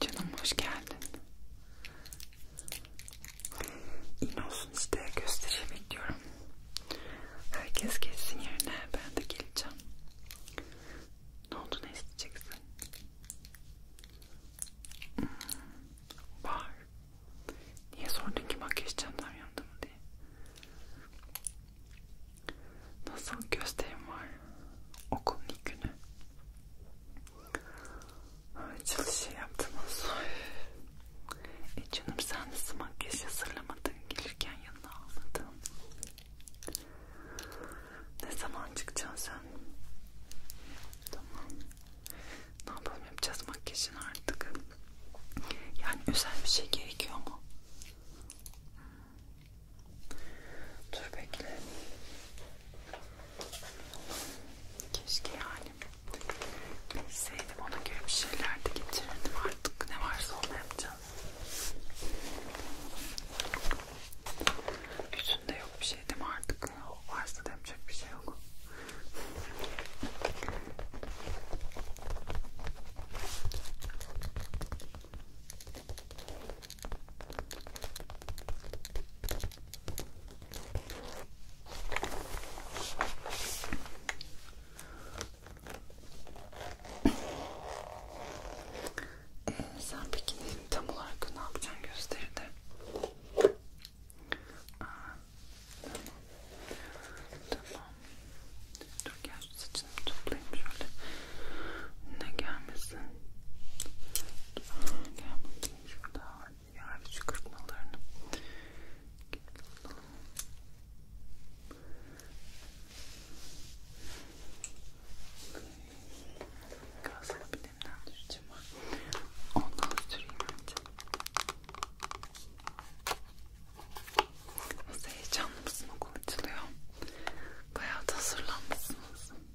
Canım hoş geldin. İn olsun işte göstereyim bekliyorum. Herkes gelsin yerine ben de geleceğim. Ne oldu ne isteyeceksin? Hmm, var. Niye sordun ki makyaj çantam yandı mı diye? Nasıl gösterim var? Okulun ilk günü. Açılışı yaptınız. E canım sen nasıl makyaj hazırlamadın? Gelirken yanına almadın. Ne zaman çıkacaksın sen? Tamam. Ne yapalım yapacağız makyajını artık. Yani özel bir şey gerekiyor mu? Dur bekle. Keşke yani bilseydim ona göre bir şeyler de getirirdim artık ne varsa onu yapacağım. Üstünde yok bir şey değil mi artık? O varsa da yapacak bir şey yok. Ee, sen peki tam olarak ne yapacaksın gösteride? Aa, tamam. Tamam. Dur gel şu saçını toplayayım şöyle. Ne gelmesin? Gelmesin. Şurada yargıç kırpmalarını alalım. Gazlı bir demden düşeceğim. Ondan süreyim önce. Nasıl heyecanlı mısın? Okul açılıyor. Bayağı da hazırlanmışsınız.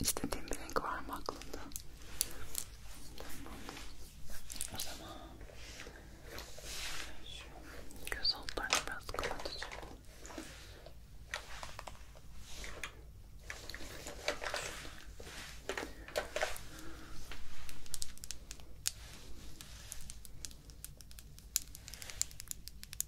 İstediğin bir renk var mı aklında? Tamam. O zaman şu göz altlarını biraz kapatacağım. Şöyle.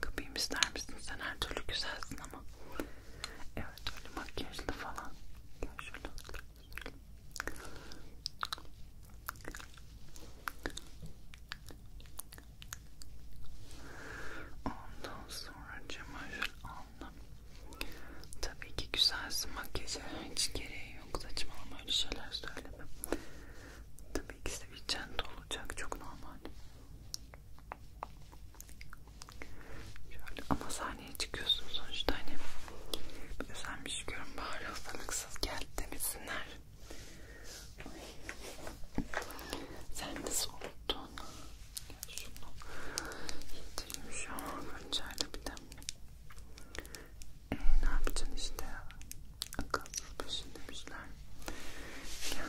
Kapayım ister misin? Sen her türlü güzelsin ama. Evet öyle makyajlı falan. Gel şöyle. Ondan sonra cemaşır aldım. Tabii ki güzelsin makyajı hiç gereği yok saçmalama öyle şeyler söylemem. Tabii ki sevecen de olacak çok normal. Şöyle ama sahneye çıkıyorsun sonuçta hani sen bir şey görün bari hastalıksız gel demesinler. Sen nasıl unuttun? Gel şunu yedireyim şu hançerle bir de. Ee, ne yapacaksın işte akılsız başın demişler. Gel.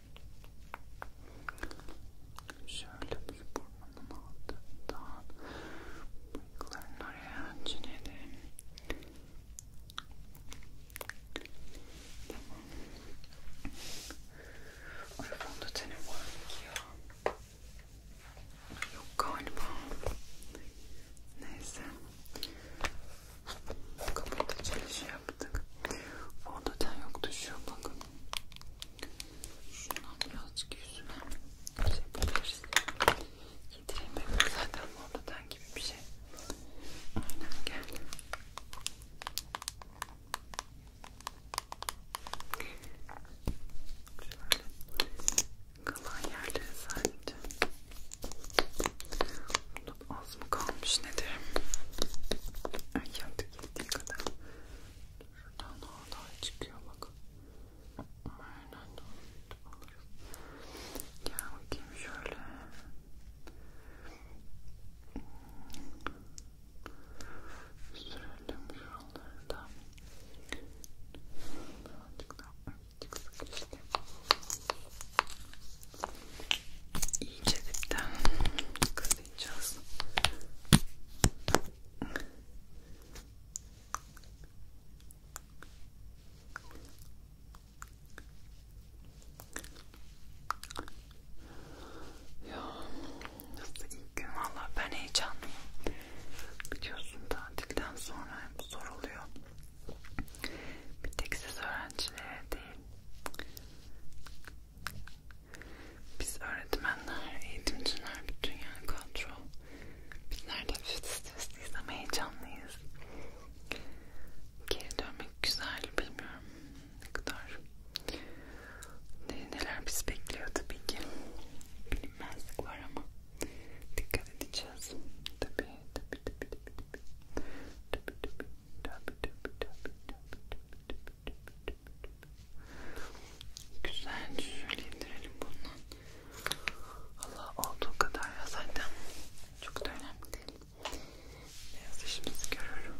Şöyle bir burnumun altından bıyıkların oraya çinelim. Tamam. Ay fondöteni var ki ya. Yok galiba. Neyse. Kapatacağız şey yaptık. Fondöten yoktu şu bakın. Şuna birazcık yüzüne şey yapabiliriz. Yedireyim bebeğim zaten morludan gibi bir şey. Aynen gel. Şöyle kalan yerleri sadece. Bunda az mı kalmış nedir? Ay yandık geldiği kadar şuradan daha çıkıyor bak. Aynen doğru alırız. Gel bakayım şöyle. Sürelim şuraları da. Birazcık daha çıksak işte iyice dipten kısayacağız. Ya nasıl ilk gün valla ben heyecanlıyım. Biliyorsun tatilden sonra hep zor oluyor. Bir tek siz öğrencilere değil biz öğretmenler, eğitimciler, bütün yani kadro. Bizler de hafif stresliyiz ama heyecanlıyız. Geri dönmek güzel bilmiyorum ne kadar. Neler bizi bekliyor tabii ki. Bilinmezlik var ama dikkat edeceğiz. Tabii tabii tabii tabii tabii. Tabii tabii Güzel şöyle indirelim bundan. Allah olduğu kadar ya zaten çok da önemli değil. Beyaz işimizi görürüm.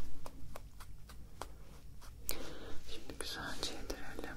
Şimdi güzelce indirelim.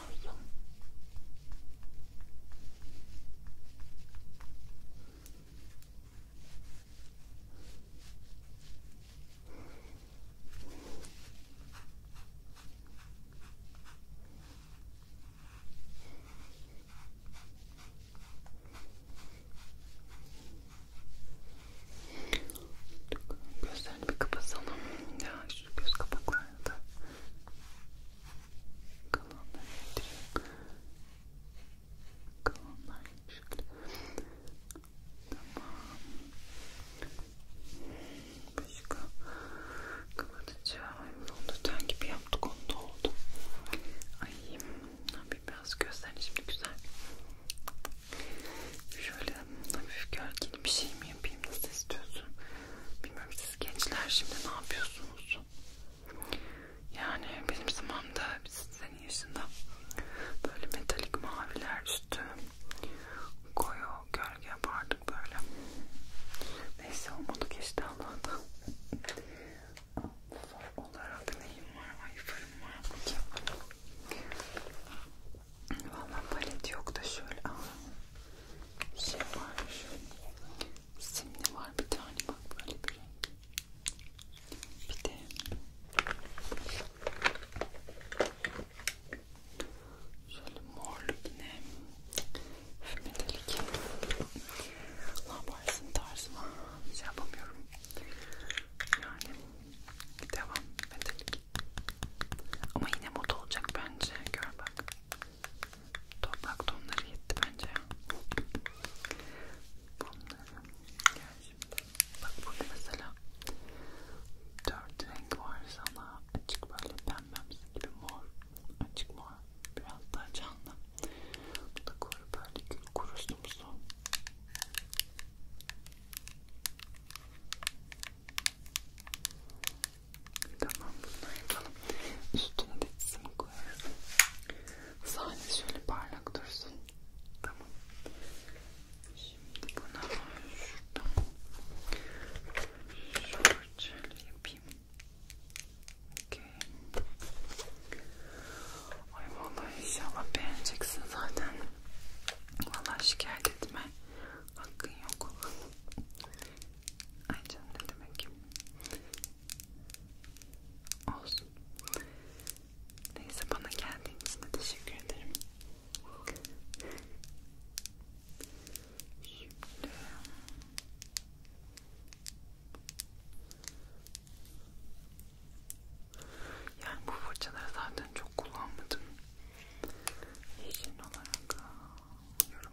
lazım. Gözlerini bir kapatalım. Ya şu göz kapaklarını da kalanları getiriyorum kalanlar şöyle tamam başka kapatacağım fondöten gibi yaptık onu da oldu ay biraz gözlerini şimdi güzel şöyle hafif gölgeli bir şey mi yapayım nasıl istiyorsun Bilmiyorum siz gençler şimdi ne yapıyorsunuz? Yani benim zamanımda sizin yaşında böyle metalik maviler üstü koyu gölge yapardık böyle. Neyse olmadı geçti Allah'tan. Zor olarak neyim var? Ayıflarım var. Valla palet yok da şöyle. Aa bir şey var. Simli var bir tane bak böyle bir renk. Bir de şöyle morlu yine metalik. Ne yaparsın tarzıma şey yapamıyorum. Yani devam metalik. Ama yine moda olacak bence. Gör bak. Toprak tonları yetti bence ya. Bunları gel şimdi. Bak burada mesela dört renk var sana. Açık böyle pembemsi gibi mor. Açık mor. Biraz daha canlı. Bu da kuru böyle gül kurusumsu. Tamam bunu yapalım. Üstüne de çizim koyarız. Sadece şöyle parlak dursun. Tamam. Şimdi bunu şuradan şu parçayla yapayım. Okay. Ay vallahi inşallah beğeneceksin zaten. Vallahi şikayet etme hakkın yok. Ay canım ne demek? Olsun. Neyse bana geldiğin için de teşekkür ederim. Şimdi... Yani bu fırçaları zaten çok kullanmadım. Yeşil olarak yorum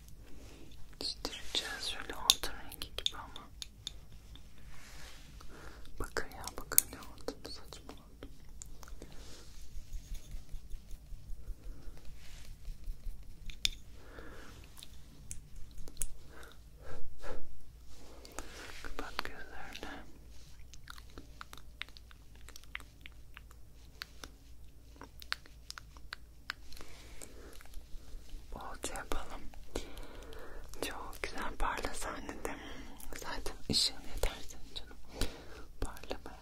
Çizdireceğiz şöyle altın rengi gibi ama. Bakın ya bakın ne oldu saçmaladım. Kapat gözlerini. Bolca yapalım. Çok güzel parla sen de. Zaten ışığın yeter senin canım. Parlamaya.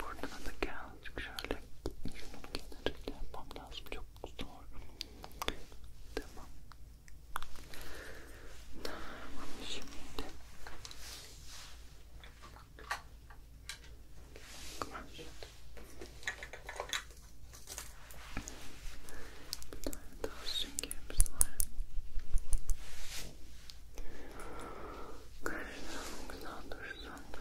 Buradan da birazcık şöyle şunun kenarıyla yapmam lazım. Çok zor. Tamam. Tamam şimdi. Kumaş. Bir tane daha süngerimiz var. Karşıdan güzel dursun.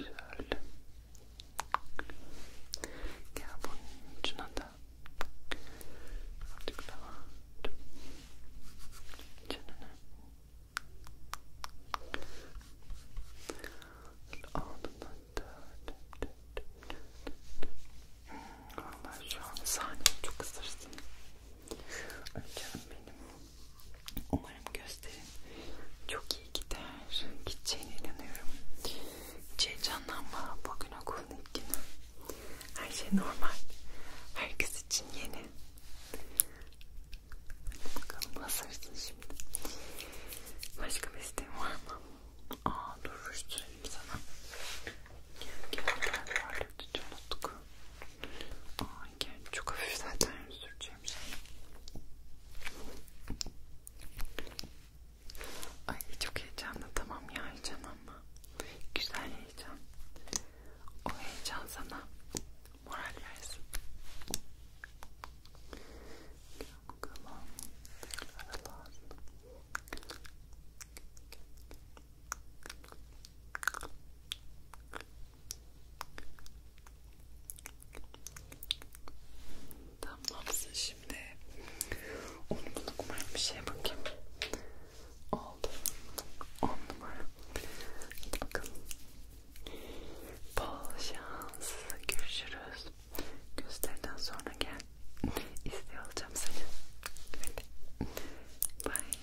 Şöyle. Gel bunun ucuna da. Artık daha. Canını. Altından dört. Hmm, vallahi şu an sahne çok ısırsın. Ay canım benim. Umarım gösterin çok iyi gider. Gideceğine inanıyorum. Hiç heyecanlanma. Bugün okulun ilk günü. Her şey normal. Herkes için yeni. Hadi bakalım basarsın şimdi. Başka bir isteğin var mı? Aa dur rüştürelim sana. Gel gel gel. Varlıkçı unuttuk. Aa sanki. Çok hafif zaten süreceğim şey. Ay çok heyecanlı tamam ya heyecan ama güzel heyecan. O heyecan sana moral versin. Gel bakalım. Gel Tamamsın şimdi. Onu bunu kumarım bir şeye bakayım. Oldu. On numara. Hadi bakalım. Bol şans. Görüşürüz. Gösteriden sonra gel. İstiyor olacağım seni. Hadi. Bye.